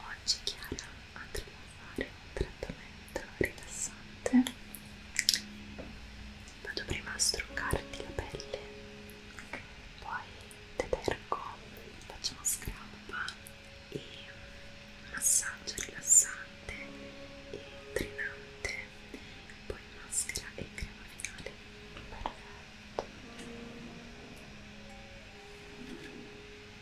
Oggi Chiara andremo a fare un trattamento rilassante. Vado prima a struccarti la pelle, poi detergo, faccio una scrappa e un massaggio rilassante e drenante, poi maschera e crema finale. Perfetto.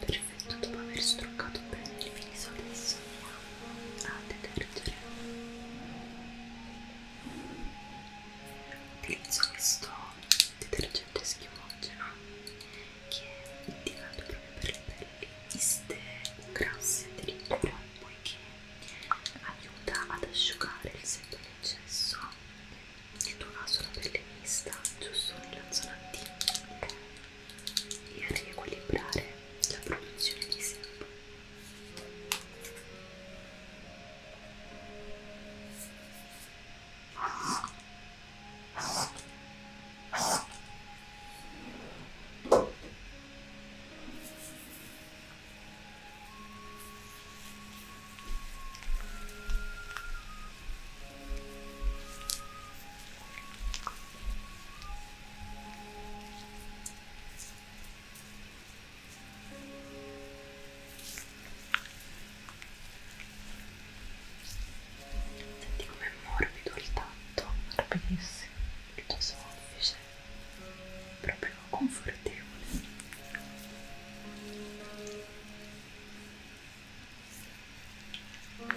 Perfetto, dopo aver struccato bene il viso adesso a detergere utilizzo questo detergente schiumogeno che è indicato proprio per le pelli iste o grasse addirittura poiché aiuta ad asciugare il sento in eccesso nel tuo caso la pelle mista giusto nella zona D e a riequilibrare la produzione di sebo. Senti com'è morbido il tatto, morbidissimo, molto soffice, proprio confortevole. Ora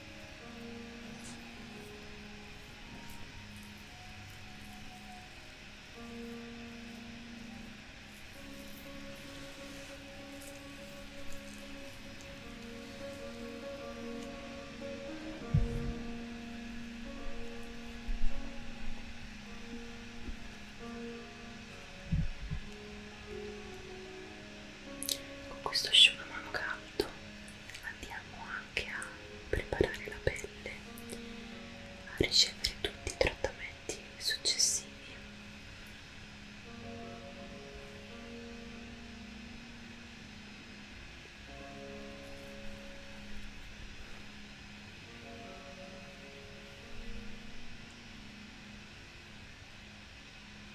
Con questo asciugamano caldo andiamo anche a preparare la pelle a ricevere tutti i trattamenti successivi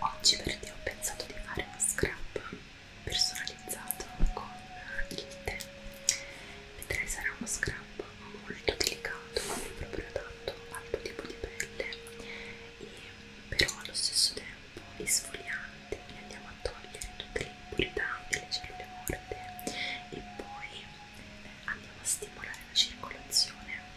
Oggi per te ho pensato di fare uno scrub personalizzato con il tè. Vedrai sarà uno scrub molto delicato, non proprio adatto al tuo tipo di pelle, e però allo stesso tempo esfoliante, quindi andiamo a togliere tutte le impurità delle cellule morte e poi eh, andiamo a stimolare la circolazione. Ecco,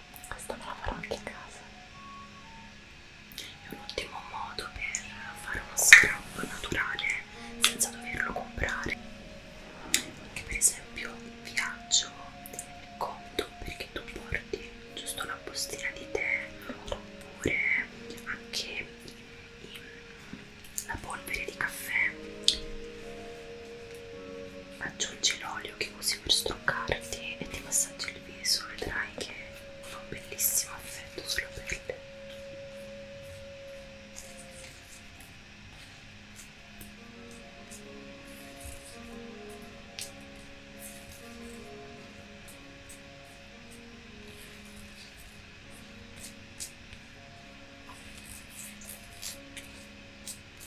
Questa me la farò anche a casa. È un ottimo modo per fare uno scrub naturale senza doverlo comprare. Anche per esempio in viaggio è comodo perché tu porti giusto una bustina di tè oppure anche i, i, la polvere di caffè. Aggiungi l'olio olio che usi per struccarti e ti massaggi il viso, vedrai che fa un bellissimo effetto sulla pelle.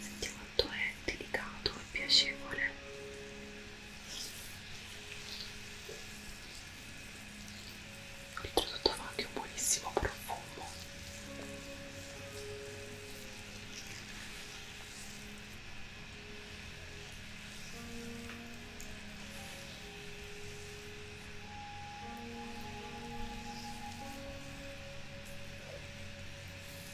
senti quanto è delicato e piacevole oltretutto fa anche un buonissimo profumo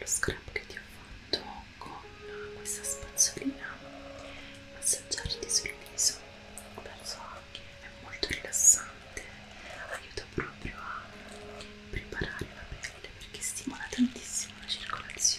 lo scrap che ti ho fatto con questa spazzolina massaggiarti sul viso penso anche è molto rilassante aiuta proprio a preparare la pelle perché stimola tantissimo la circolazione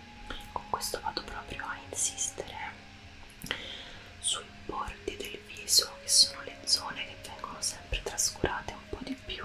con questo vado proprio a insistere sui bordi del viso che sono le zone che vengono sempre trascurate un po' di più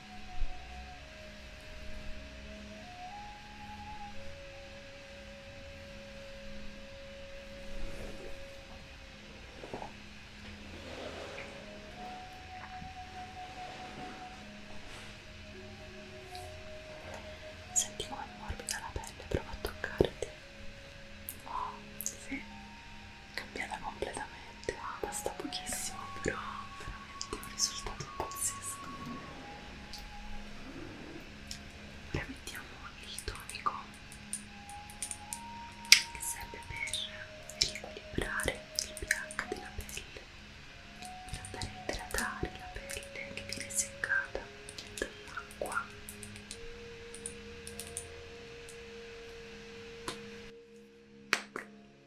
Senti come morbida la pelle, prova a toccarti. Oh, sì, cambiata completamente veramente ah, basta pochissimo però veramente un risultato pazzesco ora mettiamo il tonico che serve per riequilibrare il pH della pelle per andare a idratare la pelle che viene seccata dall'acqua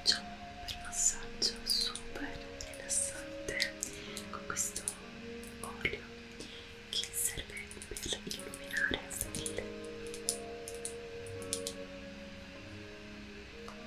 Facciamo un bel massaggio super rilassante con questo olio che serve per illuminare a stelle. Ecco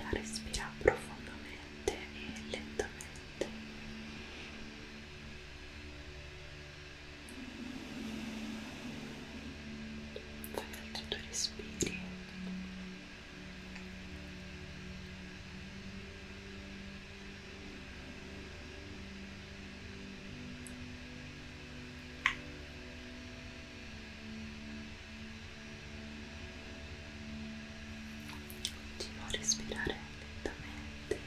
Ora respira profondamente e lentamente fai altri due respiri Continua a respirare lentamente.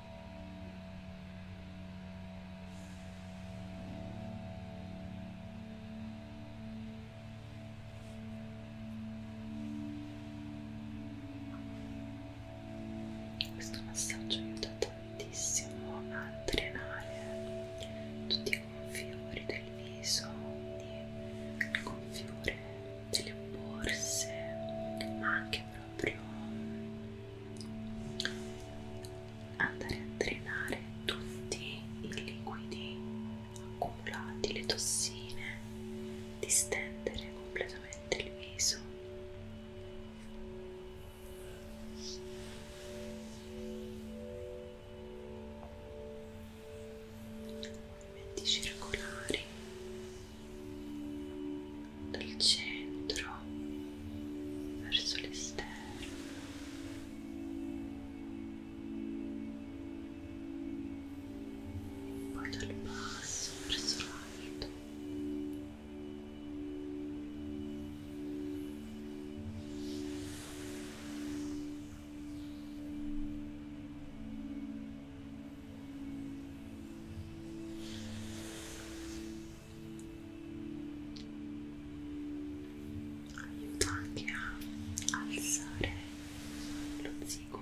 Questo massaggio aiuta tantissimo a drenare tutti i confiori del viso, quindi il confiore delle borse, ma anche proprio andare a drenare tutti i liquidi accumulati, le tossine, distendere completamente il viso. Movimenti circolari dal centro verso l'esterno poi dal basso verso l'alto aiuta anche a alzare lo zigomo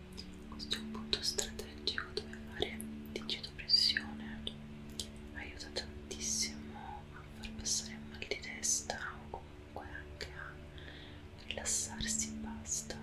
Questo è un punto strategico dove fare digitopressione aiuta tantissimo a far passare il mal di testa o comunque anche a rilassarsi e basta.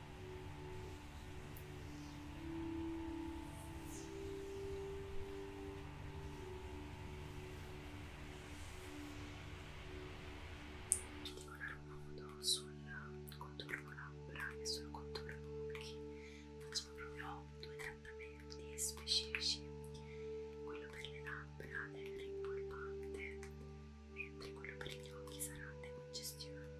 Particolare modo sul contorno labbra e sul contorno occhi facciamo proprio due trattamenti specifici quello per le labbra è rimpolpante mentre quello per gli occhi sarà decongestionante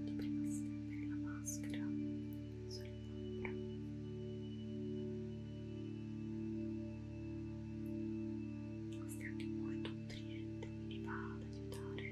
di prima stendere la maschera sulle labbra questa è anche molto nutriente quindi va ad aiutare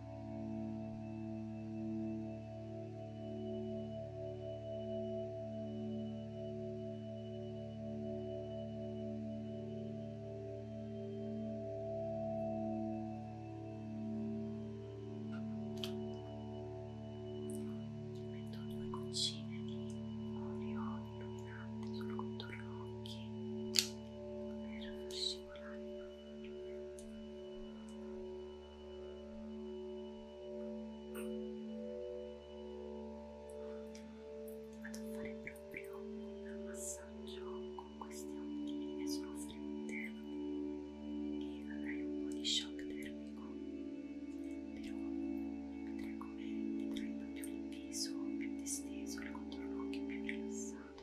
metto due goccine di olio illuminante sul contorno occhi per far scivolare Vado a fare proprio un massaggio con queste ondine che sono fredde e avrai un po' di shock termico, però vedrai come vedrai proprio il viso più disteso, il contorno occhio più rilassato.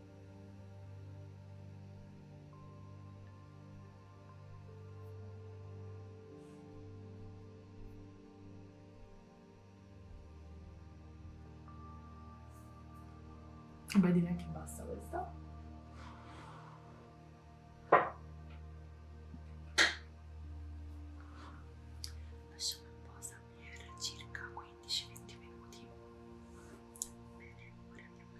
Beh, direi che basta questa. Lasciamo in posa per circa 15-20 minuti. Bene, ora andiamo a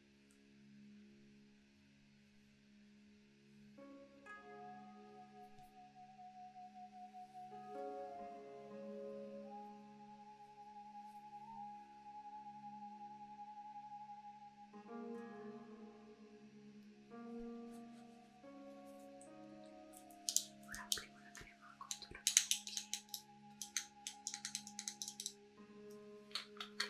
Ora applico la crema contro gli occhi. Ora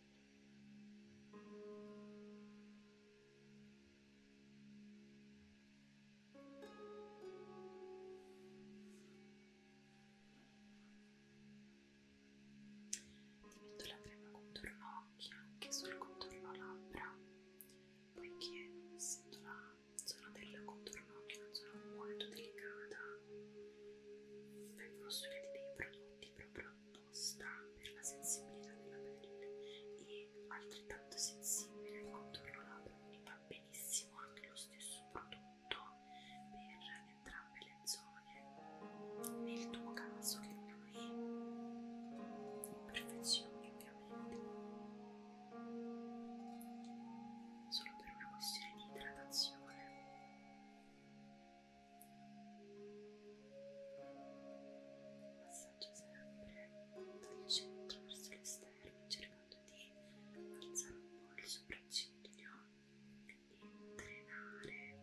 Ti metto la crema contorno occhi anche sul contorno labbra, poiché essendo la zona del contorno occhi una zona molto delicata vengono studiati dei prodotti proprio apposta per la sensibilità della pelle e altrettanto sensibile al contorno labbra, quindi va benissimo anche lo stesso prodotto per entrambe le zone, nel tuo caso che non hai imperfezioni ovviamente. Solo per una questione di idratazione Passaggio sempre dal centro verso l'esterno, cercando di alzare un po' il sopracciglio e drenare.